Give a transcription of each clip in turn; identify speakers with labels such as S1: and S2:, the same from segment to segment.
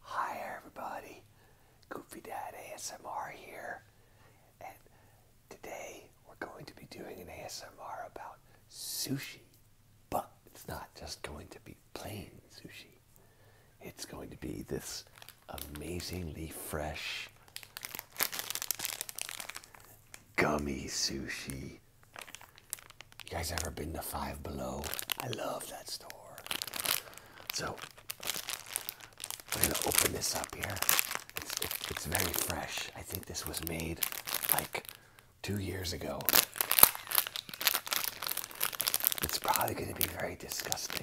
S1: Hi everybody, Goofy Dad ASMR here, and today we're going to be doing an ASMR about sushi, but it's not just going to be plain sushi. It's going to be this amazingly fresh gummy sushi you guys ever been to Five Below? I love that store. So we're gonna open this up here. It's, it's, very fresh. I think this was made like two years ago. It's probably gonna be very disgusting.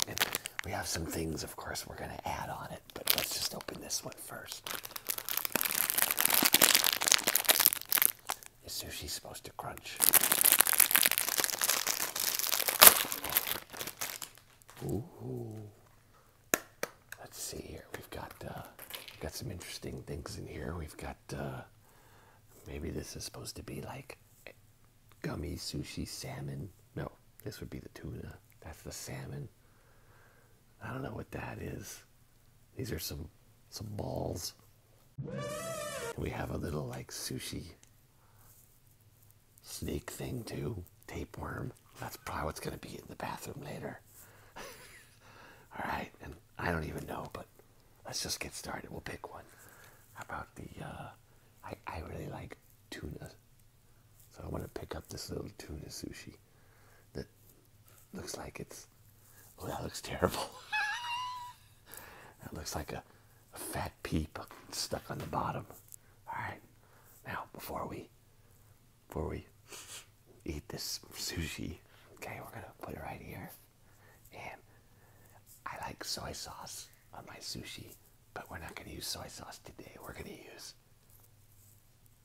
S1: we have some things, of course, we're gonna add on it, but let's just open this one first is sushi supposed to crunch? Let's see here. We've got uh, got some interesting things in here. We've got uh, maybe this is supposed to be like gummy sushi salmon. No, this would be the tuna. That's the salmon. I don't know what that is. These are some some balls. We have a little like sushi snake thing too. Tapeworm. That's probably what's gonna be in the bathroom later. Alright, and I don't even know, but let's just get started. We'll pick one. How about the uh, I, I really like tuna. So I want to pick up this little tuna sushi that looks like it's Oh, that looks terrible. that looks like a, a fat peep stuck on the bottom. All right. Now, before we before we eat this sushi, okay, we're gonna put it right here. And I like soy sauce on my sushi, but we're not gonna use soy sauce today. We're gonna use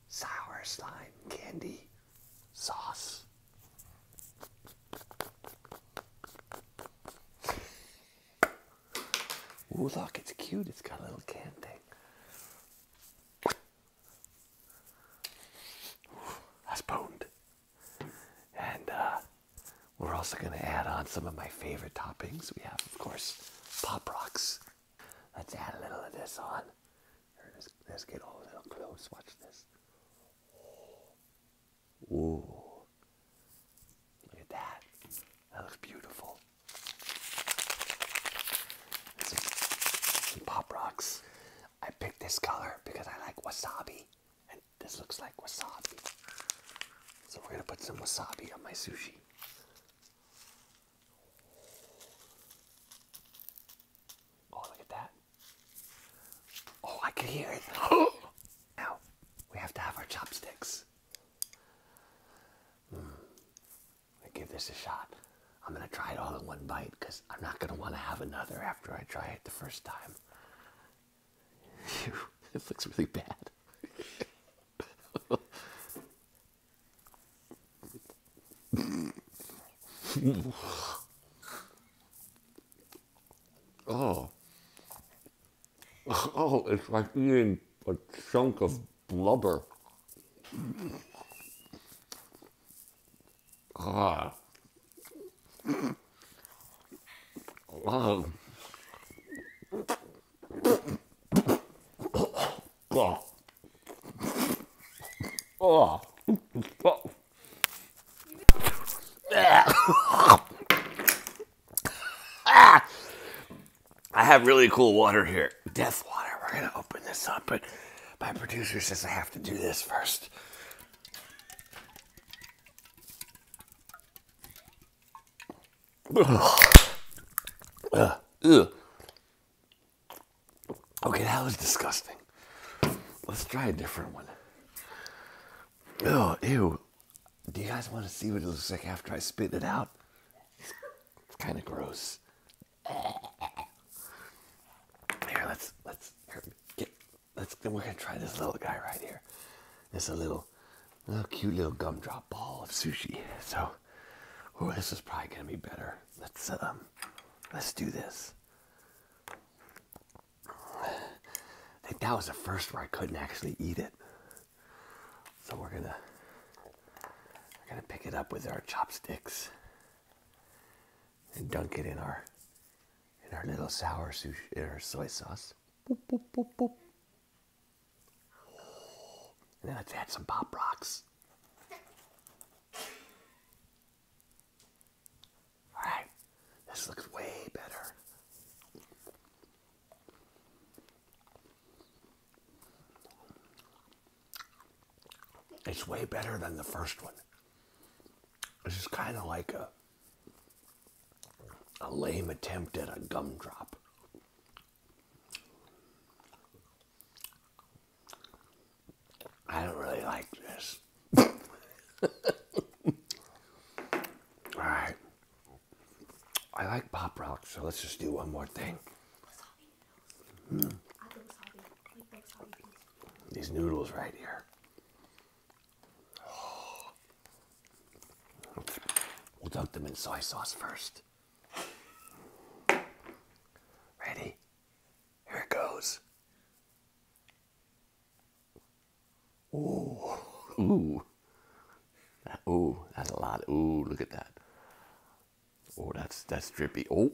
S1: sour slime candy sauce. Ooh, look, it's cute. It's got a little can thing. Ooh, that's potent. And uh, we're also going to add on some of my favorite toppings. We have, of course, Pop Rocks. Let's add a little of this on let's, get all little close. Watch this. Whoa. Look at that. That looks beautiful. Some pop rocks. I picked this color because I like wasabi. And this looks like wasabi. So we're gonna put some wasabi on my sushi. Oh, look at that. Oh, I could hear it. now, we have to have our chopsticks. Mm. I give this a shot. I'm going to try it all in one bite because I'm not going to want to have another after I try it the first time. it looks really bad. Mm. oh. Oh, it's like eating a chunk of blubber. Ah. Oh. Oh. Oh. oh. I have really cool water here. Death water. We're going to open this up, but my producer says I have to do this first. Ugh. Ugh. Okay, that was disgusting. Let's try a different one. Oh, ew. Do you guys want to see what it looks like after I spit it out? It's kind of gross. Here, let's let's get let's then we're gonna try this little guy right here. It's a little little, little cute little gumdrop ball of sushi. So, oh, this is probably gonna be better. Let's um, let's do this. I think that was the first where I couldn't actually eat it. So we're gonna, we're gonna pick it up with our chopsticks and dunk it in our, in our little sour sushi, in our soy sauce. And then let's add some pop rocks. Alright, this looks way better. It's way better than the first one. This is kind of like a a lame attempt at a gumdrop. I don't really like this. All right. I like Pop Rocks, so let's just do one more thing. These noodles right here. We'll dunk them in soy sauce first. Ready? Here it goes. Ooh. Ooh. ooh, that's a lot. Ooh, look at that. Oh, that's that's drippy. Oh.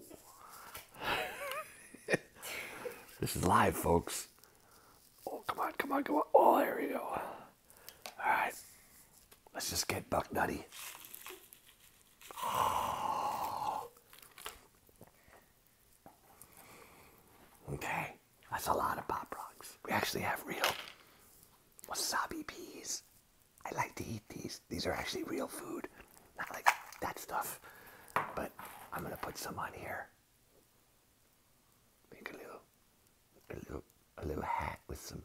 S1: this is live, folks. Oh, come on, come on, come on. Oh, there we go. All right. Let's just get Buck Nutty. Okay. That's a lot of pop rocks. We actually have real wasabi peas. I like to eat these. These are actually real food. Not like that stuff. But I'm going to put some on here. Make a little, a little, a little hat with some,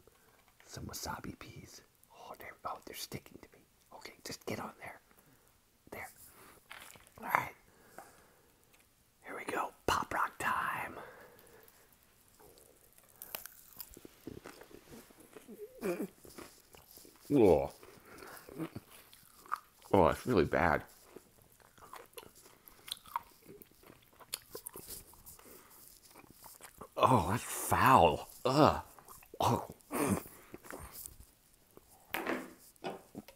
S1: some wasabi peas. Oh, they're, oh, they're sticking to me. Okay, just get on there. There. All right. Here we go. Pop rock time. Oh. Oh, that's really bad. Oh, that's foul. Ugh. Oh.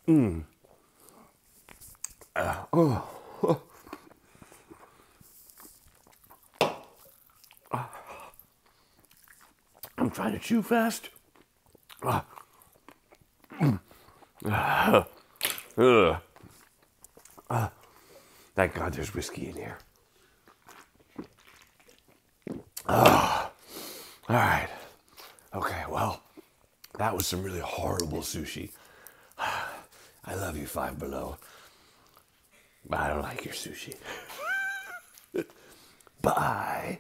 S1: Mmm. oh. I'm trying to chew fast. Thank God there's whiskey in here. all right. Okay, well, that was some really horrible sushi. I love you, Five Below. But I don't like your sushi. Bye.